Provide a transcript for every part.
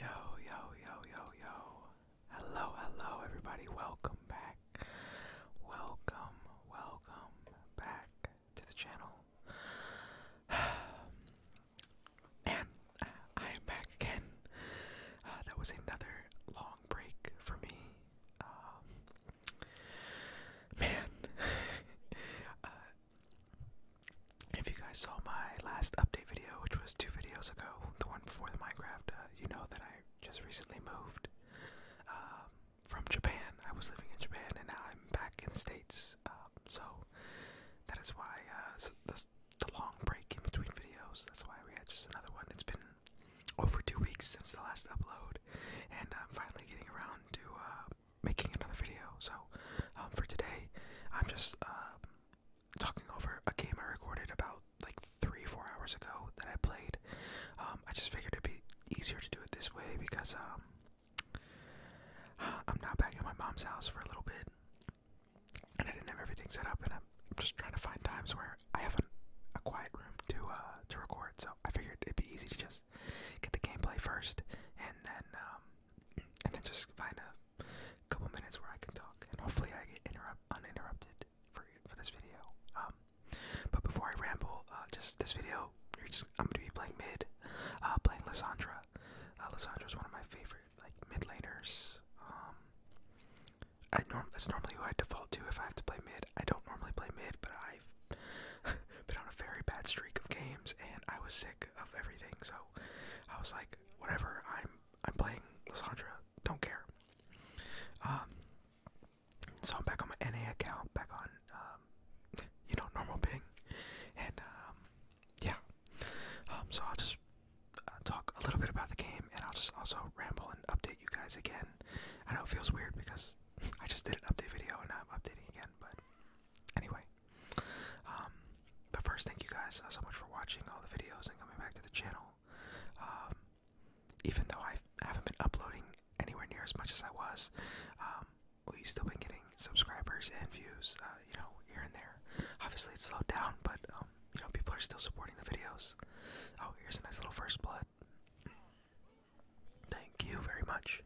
Yo, yo, yo, yo, yo. Hello, hello, everybody. Welcome back. Welcome, welcome back to the channel. and uh, I am back again. Uh, that was another long break for me. Um, man, uh, if you guys saw my last update video, which was two videos ago, the one before the Minecraft, uh, you know that I just recently moved um, from Japan. I was living in Japan, and now I'm back in the States. Um, so that is why uh, the, long break in between videos. That's why we had just another one. It's been over two weeks since the last upload, and I'm finally getting around to uh, making another video. So um, for today, I'm just um, talking over a game I recorded about like three, four hours ago that I played. Um, I just figured it'd be easier to do it this way because um, I'm now back at my mom's house for a little bit, and I didn't have everything set up, and I'm, just trying to find times where I have a quiet room to uh, to record. So I figured it'd be easy to just get the gameplay first, and then and then just find a couple minutes where I can talk, and hopefully I get interrupt uninterrupted for for this video. Um, but before I ramble, uh, just this video, you're just I'm gonna be playing mid, uh, playing Lissandra. Uh, is one of my favorite mid laners. Um, I norm that's normally who I default to if I have to play mid. I don't normally play mid, but I've been on a very bad streak of games, and I was sick of everything. So I was like, whatever. I'm I'm playing Lissandra. Don't care. Um. So I'm back on my NA account, back on um, you know normal ping, and um, yeah. Um. So I'll just uh, talk a little bit about the game, and I'll just also ramble and update you guys again. I know it feels weird because I just did an update video and I'm updating again, but anyway. Um, but first, thank you guys uh, so much for watching all the videos and coming back to the channel. Um, even though I haven't been uploading anywhere near as much as I was, um, we've still been getting subscribers and views, uh, you know, here and there. Obviously, it's slowed down, but you know, people are still supporting the videos. Oh, here's a nice little first blood. Thank you very much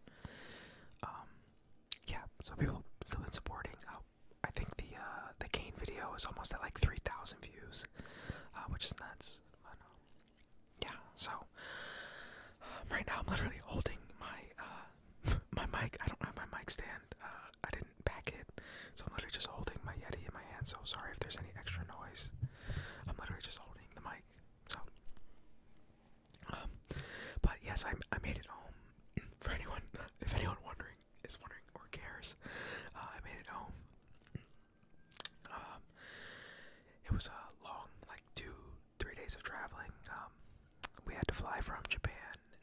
yeah, so people still been supporting. Uh, I think the uh, the Kane video is almost at like three thousand views, uh, which is nuts. yeah, so um, right now I'm literally holding my uh, my mic. I don't have my mic stand. Uh, I didn't pack it, so I'm literally just holding my Yeti in my hand. So sorry if there's any extra noise. I'm literally just holding the mic. So um, but yes, I, I made it home. For anyone, if anyone wondering is wondering or cares, uh, I made it home. Um, it was a long, like two, three days of traveling. Um, we had to fly from Japan.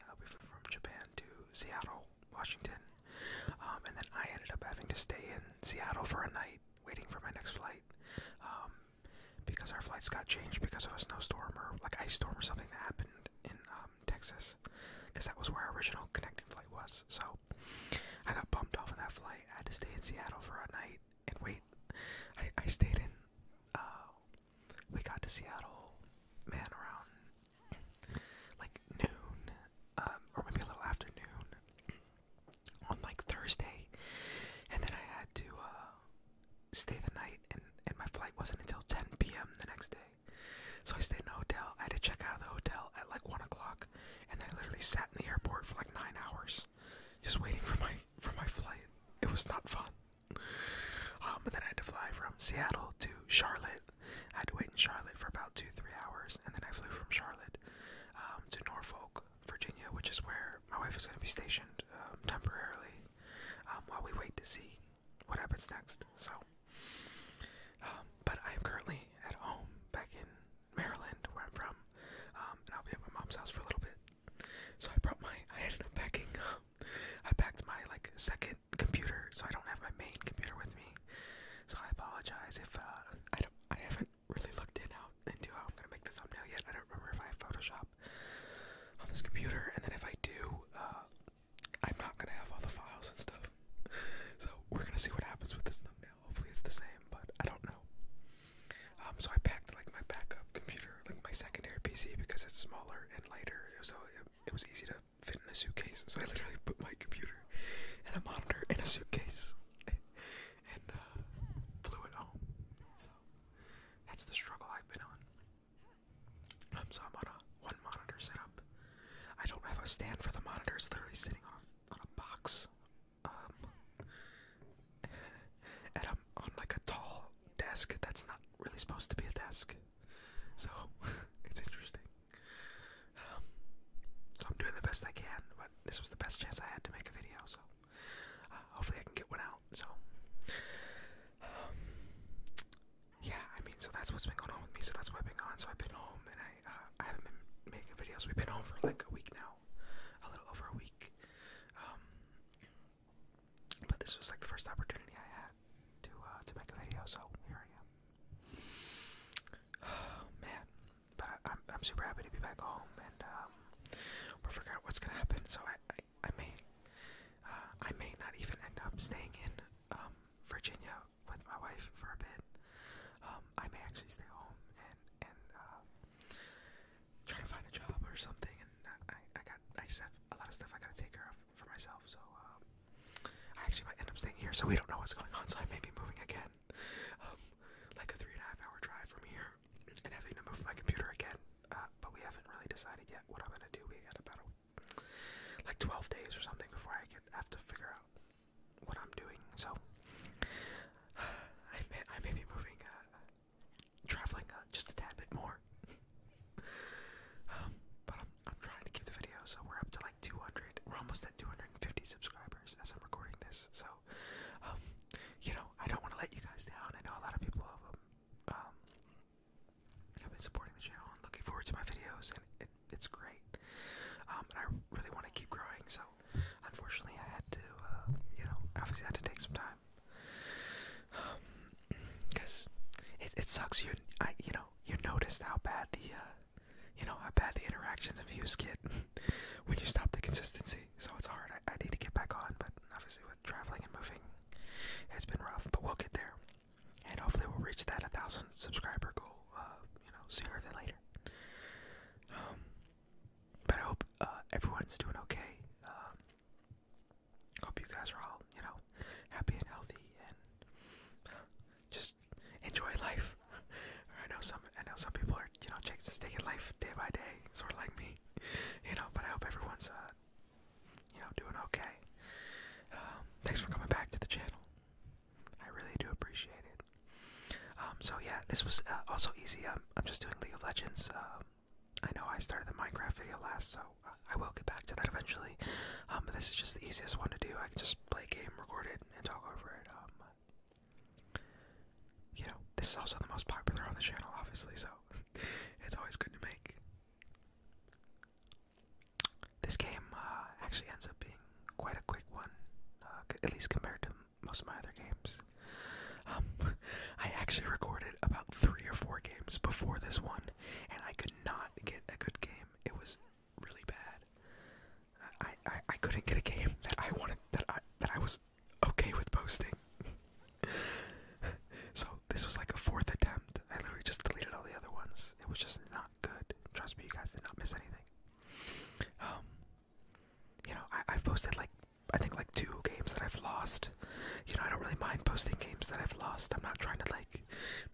Uh, we flew from Japan to Seattle, Washington, and then I ended up having to stay in Seattle for a night, waiting for my next flight because our flights got changed because of a snowstorm or like ice storm or something that happened in um, Texas, because that was where our original connecting flight was. So I got bumped off of that flight. I had to stay in Seattle for a night and wait. I, I stayed in. Uh, we got to Seattle, man, around like noon, um, or maybe a little afternoon on like Thursday, and then I had to. Uh, stay the night, and, my flight wasn't until 10 p.m. the next day. So I stayed in a hotel. I had to check out of the hotel at like 1 o'clock, and I literally sat in the airport for like 9 hours just waiting for my, for my flight. It was not fun. Um, and then I had to fly from Seattle to Charlotte. I had to wait in Charlotte for about two, three hours, and then I flew from Charlotte um, to Norfolk, Virginia, which is where my wife is going to be stationed um, temporarily. Um, while we wait to see what happens next. So, um, but I am currently at home back in Maryland, where I'm from, um, and I'll be at my mom's house for a little bit. So I brought my, I ended up packing, I packed my like second computer, so I don't have my main computer with me. So I apologize if uh, I don't, I haven't really looked in out into how I'm gonna make the thumbnail yet. I don't remember if I have Photoshop on this computer, and then if I do, uh, I'm not gonna have all the files and stuff. So we're gonna see what happens with this thumbnail. Hopefully it's the same, but I don't know. Um, so I packed like my backup computer, like my secondary PC, because it's smaller and lighter, so it, it was easy to fit in a suitcase. So I literally put my computer and a monitor in a suitcase and uh, flew it home. So that's the struggle I've been on. Um, I'm on one monitor setup. I don't have a stand for the monitor. It's literally sitting on on a box, um, and I'm on like a tall desk that's not really supposed to be a desk. So it's interesting. Um, so I'm doing the best I can, but this was the best chance I had to make a video. So uh, hopefully I can get one out. So, yeah, I mean, so that's what's been going on with me. So that's what I've been on. So I've been home and I, uh, I haven't been making videos. We've been home for like a week now, a little over a week. Um, but this was like the first opportunity I had to uh, to make a video. So here I am. man, but I, am I'm super happy to be back home and um, we're figuring out what's gonna happen. So I I, may, uh, I may not even end up staying in um, Virginia with my wife for a bit. Um, I may actually stay home and and uh, try to find a job or something. And I, I got, I just have a lot of stuff I gotta take care of for myself. So um, I actually might end up staying here. So we don't know what's going on. So I may be moving again, like a three and a half hour drive from here, and having to move my computer again. Uh, but we haven't really decided yet what I'm gonna do. We got about like 12 days or something before I could have to figure out what I'm doing. So I may I may be moving, uh, traveling uh, just a tad bit more. Um, but I'm trying to keep the video so we're up to like 200. We're almost at 250 subscribers as I'm recording this. So um, you know I don't want to let you guys down. I know a lot of people um, i have been supporting the channel and looking forward to my videos, and it's great. Um, and I really want to keep growing, so unfortunately, I had to, uh, you know, obviously, had to take some time. Because um, it, it sucks. You, I, you know, you noticed how bad the, uh, you know, how bad the interactions and views get when you stop the consistency. So it's hard. I, I need to get back on, but obviously, traveling and moving has been rough, but we'll get there. And hopefully we'll reach that 1,000 subscriber goal, uh, you know, sooner than later. Um, but I hope uh, everyone's doing okay. Um, hope you guys are all, you know, happy and healthy and uh, just enjoy life. I know some, I know some people are, you know, just taking life day by day, sort of like me, you know. But I hope everyone's you know, doing okay. Um, thanks for coming back to the channel. I really do appreciate it. Um, so yeah, this was uh, also easy. I'm, just doing League of Legends. Um, I know I started the Minecraft video last, so I will get back to that eventually. but this is just the easiest one to do. I can just play a game, record it, and talk over it. you know, this is also the most popular on the channel, obviously, so it's always good to make. This game uh, actually ends up being quite a quick one, uh, at least compared to most of my other games. Um, I actually recorded about three or four games before this one, and I could not get a good game. It was really bad. I, I, I couldn't get a game that I wanted that I that I was okay with posting. so this was like a fourth attempt. I literally just deleted all the other ones. It was just not good. Trust me, you guys did not miss anything. Um, you know, I, have posted like I think like two games that I've lost. You know, I don't really mind posting games that I've lost. I'm not trying to like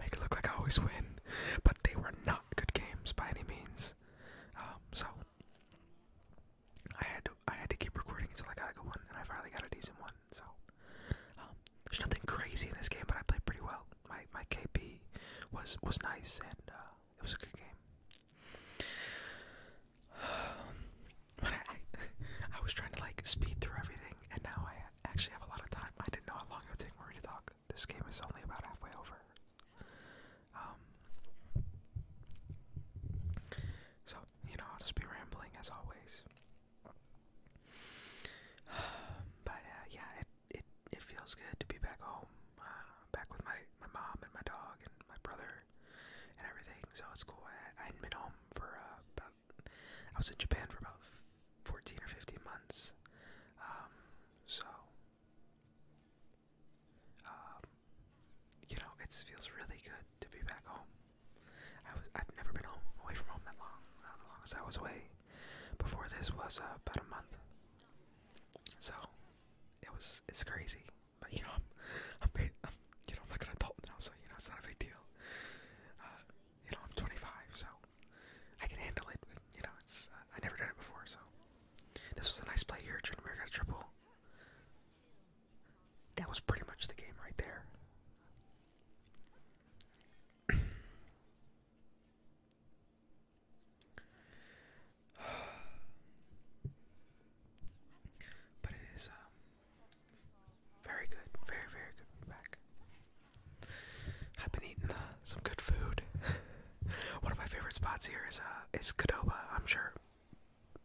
make it look like I always win, but they were not good games by any means. Um, so I had to I had to keep recording until I got a good one, and I finally got a decent one. So um, there's nothing crazy in this game, but I played pretty well. My my KP was was nice, and uh, it was a good game. but I, was trying to like speed through everything, and now I actually have a lot of time. I didn't know how long it would take Marie to talk. This game is only about halfway over. Um, so, you know, I'll just be rambling as always. But uh, yeah, it, it it feels good to be back home, uh, back with my my mom and my dog and my brother and everything. So it's cool. I, I had been home for uh, about I was in Japan for about fourteen or fifteen months. Um, so um, you know, it feels really good to be back home. I was I've never been home away from home that long. As long as I was away before this was uh, about a month. So it was it's crazy, but you know I'm I'm, you know I'm like an adult now, so you know it's not a big deal. Uh, you know I'm 25, so I can handle it. But, you know it's uh, I never done it before, so this was a nice play here. Trinity got a triple that was pretty much the game right there. but it is um, very good, very very good. back. I've been eating uh, some good food. One of my favorite spots here is uh, I'm sure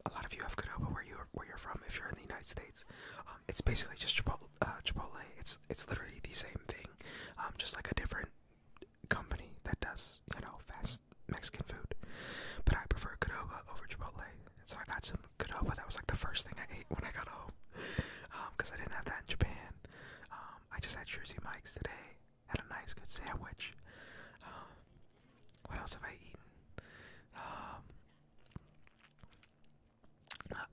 a lot of you have Qdoba where you where you're from if you're in the United States. Um, it's basically just uh, Chipotle. It's it's literally the same thing, um, just like a different company that does you know fast Mexican food. But I prefer Qdoba over Chipotle, so I got some Qdoba. That was like the first thing I ate when I got home, because um, I didn't have that in Japan. I just had Jersey Mike's today. Had a nice good sandwich. what else have I eaten?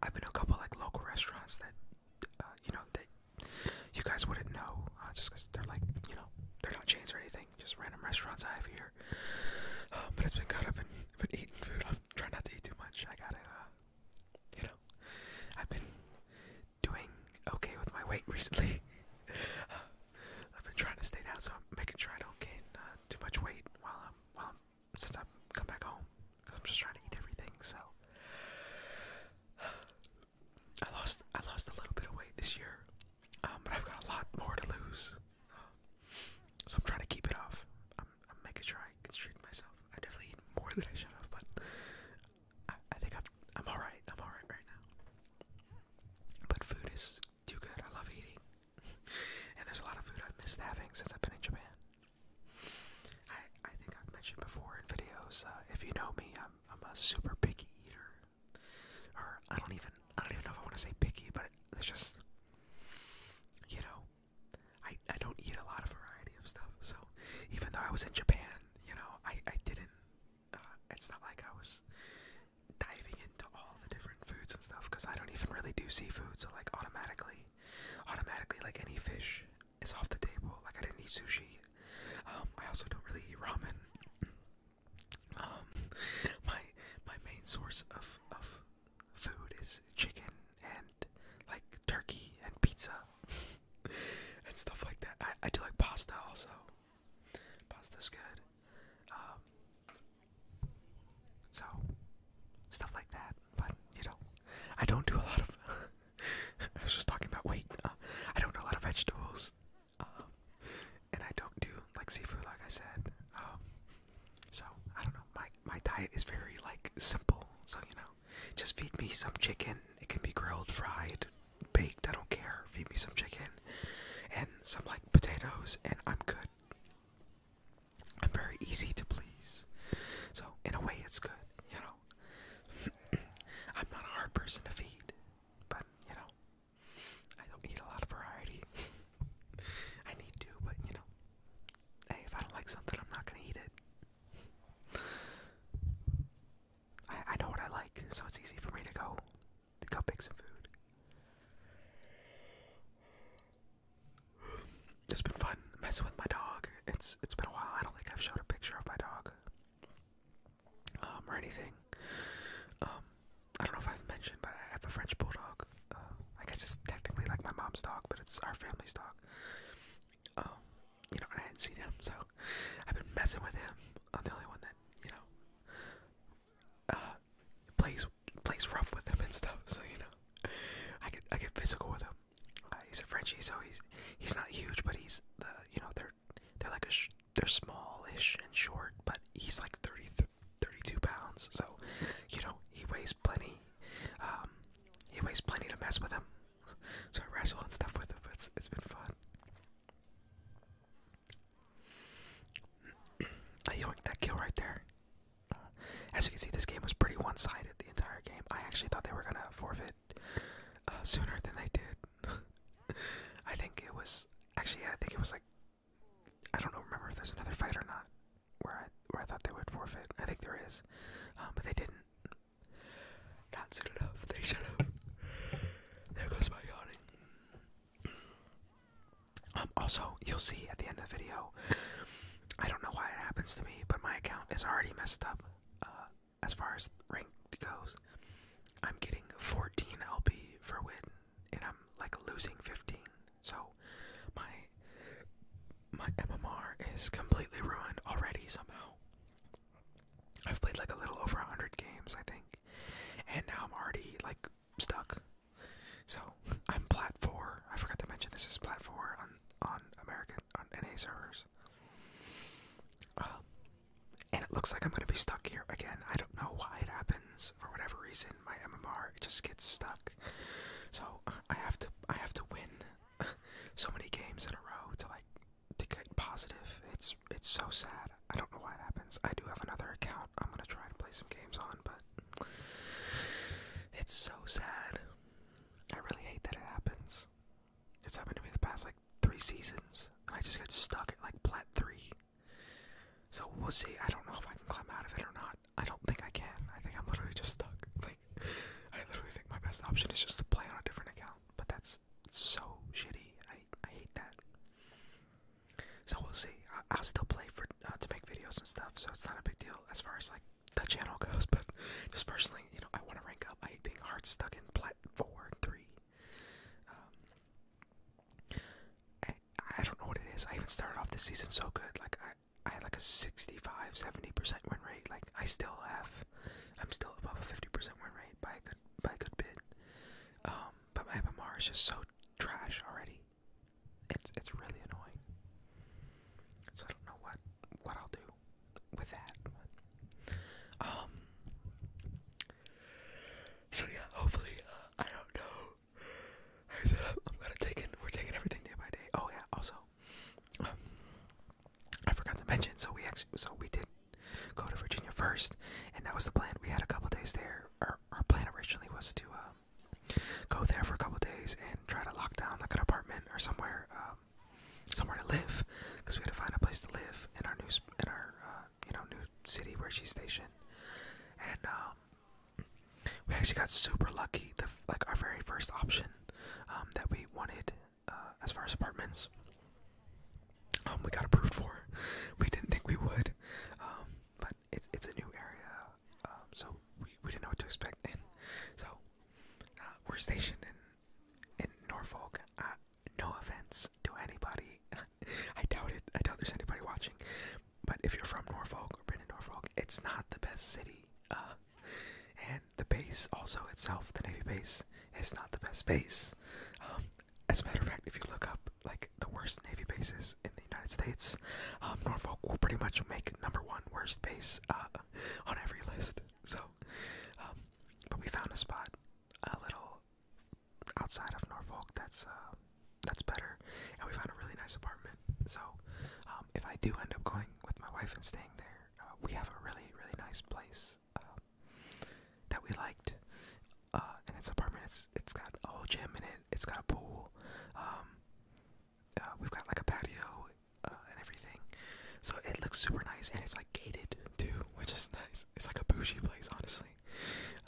I've been to a couple like local restaurants that uh, you know that you guys wouldn't know uh, just because they're like you know they're not chains or anything, just random restaurants I have here. Um, but it's been good. I've been, eating food. I'm trying not to eat too much. I gotta, uh, you know, I've been doing okay with my weight recently. I've been trying to stay down, so I'm making sure I don't gain uh, too much weight while I'm while I'm since I've come back home I'm just trying to eat everything. So I lost I lost a little bit of weight this year, um, but I've got a lot more to lose. So I'm trying to keep it off. I'm, making sure I constrict myself. I definitely eat more than I should have, but I, think I've, I'm alright. I'm alright right now. But food is too good. I love eating, and there's a lot of food I've missed having since I've been in Japan. I I think I've mentioned before in videos. Uh, if you know me, I'm I'm a super picky eater, or I don't even I don't even know if I want to say picky, but it's just you know I I don't eat a lot of variety of stuff. So even though I was in Japan, you know I I didn't. Uh, it's not like I was diving into all the different foods and stuff because I don't even really do seafood, so like automatically, automatically like any fish is off the table. Like I didn't eat sushi. Um, I also don't really eat ramen. Um, my my main source of of food is chicken and like turkey and pizza and stuff like that. I I do like pasta also. Pasta's good. Um, so, stuff like that. But, you know, I don't do a lot of. I was just talking about weight. Uh, I don't do a lot of vegetables. Um, and I don't do, like, seafood, like I said. Um, so, I don't know. My, my diet is very, like, simple. So, you know, just feed me some chicken. It can be grilled, fried, baked. I don't care. Feed me some chicken and some, like, potatoes, and I'm good. I'm very easy to please. So, in a way, it's good, you know. I'm not a hard person to feed, but, you know, I don't need a lot of variety. I need to, but, you know, hey, if I don't like something, I'm not going to eat it. I, I know what I like, so it's easy for me to go, to go pick some food. It's been fun messing with my dog. It's it's been a while. I don't think I've showed a picture of my dog um, or anything. Um, I don't know if I've mentioned, but I have a French bulldog. Uh, I guess it's technically like my mom's dog, but it's our family's dog. Um, you know, I hadn't seen him, so I've been messing with him. I'm the only one that you know uh, plays plays rough with him and stuff. So you know, I get I get physical with him. Uh, he's a Frenchie, so he's he's not huge, but he's the you know they're they're like a they're smallish and short, but he's like 30, 32 pounds. So you know he weighs plenty. Um, he weighs plenty to mess with him. So I wrestle and stuff with him. It's it's been fun. I yoinked that kill right there. Uh, as you can see, this game was pretty one-sided the entire game. I actually thought they were gonna forfeit uh, sooner than they did. I think it was actually I think it was like I don't know remember if there's another fight or not where I where I thought they would forfeit. I think there is, um, but they didn't. Not soon enough. They should have. There goes my yawning. Um, also, you'll see at the end of the video, I don't know why it happens to me, but my account is already messed up uh, as far as rank goes. I'm getting 14 LP for win, and I'm like losing 15. So my my MMR is completely ruined already somehow. I've played like a little over 100 games, I think, and now I'm already like stuck. So I'm plat four. I forgot to mention this is plat four on on American on NA servers. Um, and it looks like I'm gonna be stuck here again. I don't know why it happens for whatever reason. My MMR it just gets stuck. So I have to I have to win so many games in a row to like to get positive. It's it's so sad. I don't know why it happens. I do have another account i am gonna try to play some games on, but it's so sad. I really hate that it happens. It's happened to me the past like three seasons, and I just got stuck at like plat three. So we'll see. I don't know if I can climb out of it or not. I don't think I can. I think I'm literally just stuck. Like, I literally think my best option is just to play on a different account. But that's so shitty. I I hate that. So we'll see. I will still play for uh, to make videos and stuff, so it's not a big deal as far as like the channel goes. But just personally, you know, I want to rank up. I hate being hard stuck in plat four and three. I, um, I don't know what it is. I even started off this season so good. Like I, I had like a 65, 70 percent win rate. Like I still have, I'm still above a 50 percent win rate by a good by a good bit. Um, but my MMR is just so trash already. It's it's really annoying. So I don't know what what I'll do with that. um. So yeah, hopefully uh, I don't know. I said I'm, gonna take it. We're taking everything day by day. Oh yeah. Also, um, I forgot to mention. So we actually so we did go to Virginia first, and that was the plan. We had a couple days there. Our our plan originally was to uh, go there for a couple days and try to lock down like an apartment or somewhere, um, somewhere to live, because we had to find a place to live in our new in our uh, you know new city where she's stationed, and um, we actually got super lucky. The like our very first option um, that we wanted uh, as far as apartments. we got approved for. We didn't think we would, but it's it's a new area, um, so we, we didn't know what to expect. so uh, we're stationed in in Norfolk. Uh, no offense to anybody. I doubt it. I doubt there's anybody watching. But if you're from Norfolk or been in Norfolk, it's not the best city. Uh, and the base also itself, the Navy base, is not the best base. Um, as a matter of fact, if you look up like the worst Navy bases in the United States. Um, Norfolk will pretty much make number one worst base uh, on every list. So, um, but we found a spot a little outside of Norfolk that's uh, that's better, and we found a really nice apartment. So, um, if I do end up going with my wife and staying there, uh, we have a really really nice place that we liked. Uh, and its apartment, it's it's got a whole gym in it. It's got a pool. Um, uh, we've got like a patio uh, and everything. So it looks super nice, and it's like gated too, which is nice. It's like a bougie place, honestly.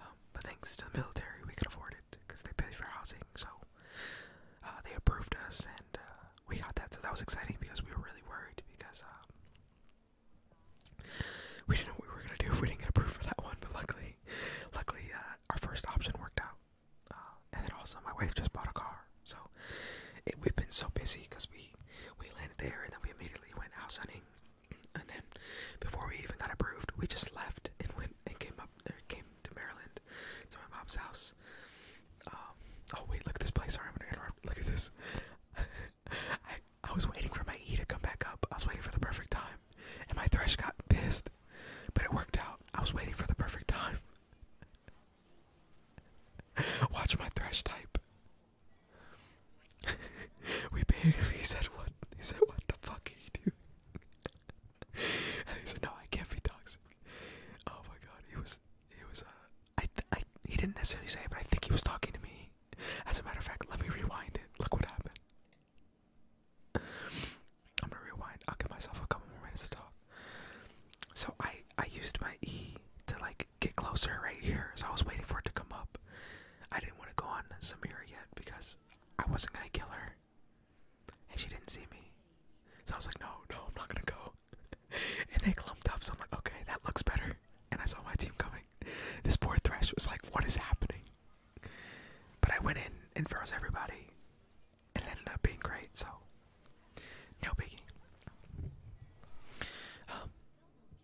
Um, but thanks to the military, we could afford it because they pay for housing. So uh, they approved us, and we got that. So that was exciting because we were really worried because. we didn't know what we were gonna do if we didn't get approved for that one, but luckily, luckily our first option worked out. Uh, and then also my wife just bought a car, so we've been so busy because we we landed there and then we immediately went house hunting, and then before we even got approved, we just left and went and came up there, uh, came to Maryland to my mom's house. Um, oh wait, look at this place. Sorry, I'm gonna Look at this. I I was waiting for my E to come back up. I was waiting for the perfect time and my thresh got pissed. But it worked out. I was waiting for the perfect time. Watch my thresh type. we paid him. He said, "What?" He said, "What the fuck are you doing?" and he said, "No, I can't be toxic." Oh my god, he was. He was. Uh, I. Th He didn't necessarily say, it, but I think he was talking to me. As a matter of fact, let me rewind it. Look what happened. I'm gonna rewind. I'll give myself a couple more minutes to talk. So I I used my E to like get closer right here. So I was waiting for it to come up. I didn't want to go on Samira yet because I wasn't gonna kill her, and she didn't see me. So I was like, no, no, I'm not gonna go. and they clumped up. So I'm like, okay, that looks better. And I saw my team coming. This poor Thresh was like, what is happening? But I went in and froze everybody, and ended up being great. So, no biggie. Um,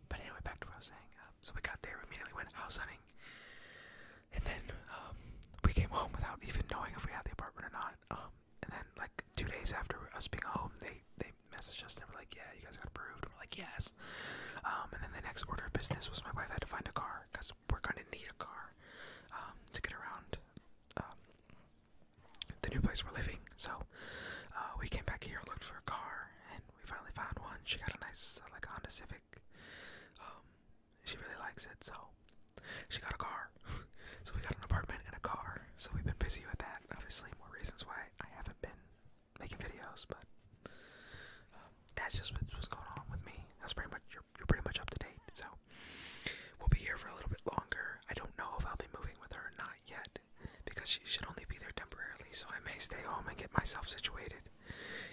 but anyway, back to what I was saying. Um, so we got there, we immediately went house hunting, and then um, we came home without even knowing if we had the apartment or not. and then like two days after us being home, they they messaged us and were like, "Yeah, you guys got approved." we're like, "Yes." and then the next order of business was my wife had to find a car because we're gonna need a car um, to get around um, the new place we're living. So uh, we came back here, looked for a car, and we finally found one. She got a nice like Honda Civic. Um, she really likes it, so she got a car. so we got an apartment and a car. So we've been busy with that. Obviously, more reasons why I haven't been making videos, but that's just what's going on with me. That's pretty much you're you're pretty much up to date. So we'll be here for a little bit longer. I don't know if I'll be moving with her or not yet because she should only be there temporarily. So I may stay home and get myself situated,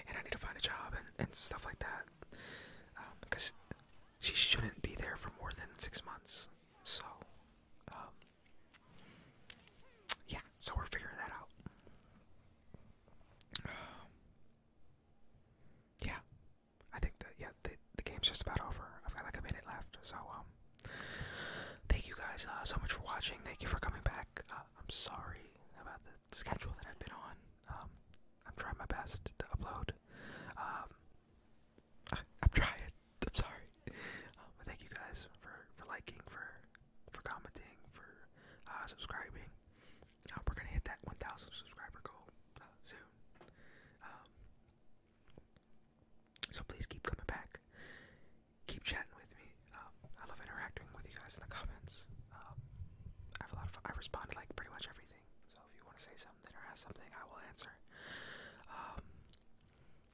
and I need to find a job and and stuff like that. because um, she shouldn't be there for more than six months. So, um, yeah. So we're figuring that out. yeah, I think that yeah the the game's just about over. I've got like a minute left, so um, thank you guys uh, so much for watching. Thank you for coming back. Uh, I'm sorry about the schedule that I've been on. Um, I'm trying my best to upload. Um, I, am trying. I'm sorry. Um, but thank you guys for for liking, for for commenting, for uh, subscribing, uh, we're gonna hit that 1,000 subscriber goal uh, soon. Um, so please keep coming back. Keep chatting with me. Um, I love interacting with you guys in the comments. Um, I have a lot of. I respond to like pretty much everything. So if you want to say something or ask something, I will answer.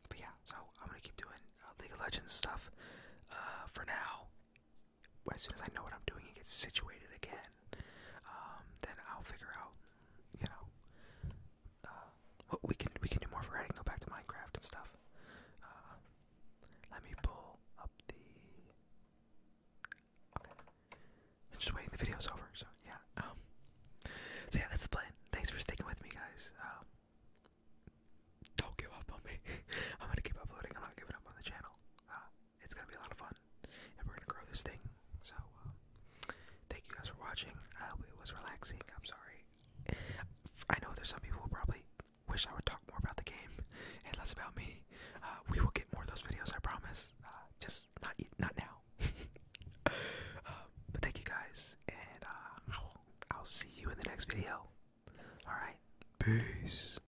but yeah, so I'm gonna keep doing uh, League of Legends stuff uh, for now. But as soon as I know what I'm doing it gets situated again, um, then I'll figure out, you know, uh, what we can we can do more variety and go back to Minecraft and stuff. Uh, let me pull up the. just waiting. The video's over, so yeah. Um, so yeah, that's the plan. Thanks for sticking with me, guys. Um, don't give up on me. I'm gonna keep uploading. I'm not giving up on the channel. Uh, it's gonna be a lot of fun, and we're gonna grow this thing. So, um, thank you guys for watching. I hope it was relaxing. I'm sorry. I know there's some people who probably wish I would talk more about the game and less about me. Uh, we will get more of those videos, I promise. Uh, just not not now. Um, but thank you guys, and uh, I'll see you in the next video. All right, peace.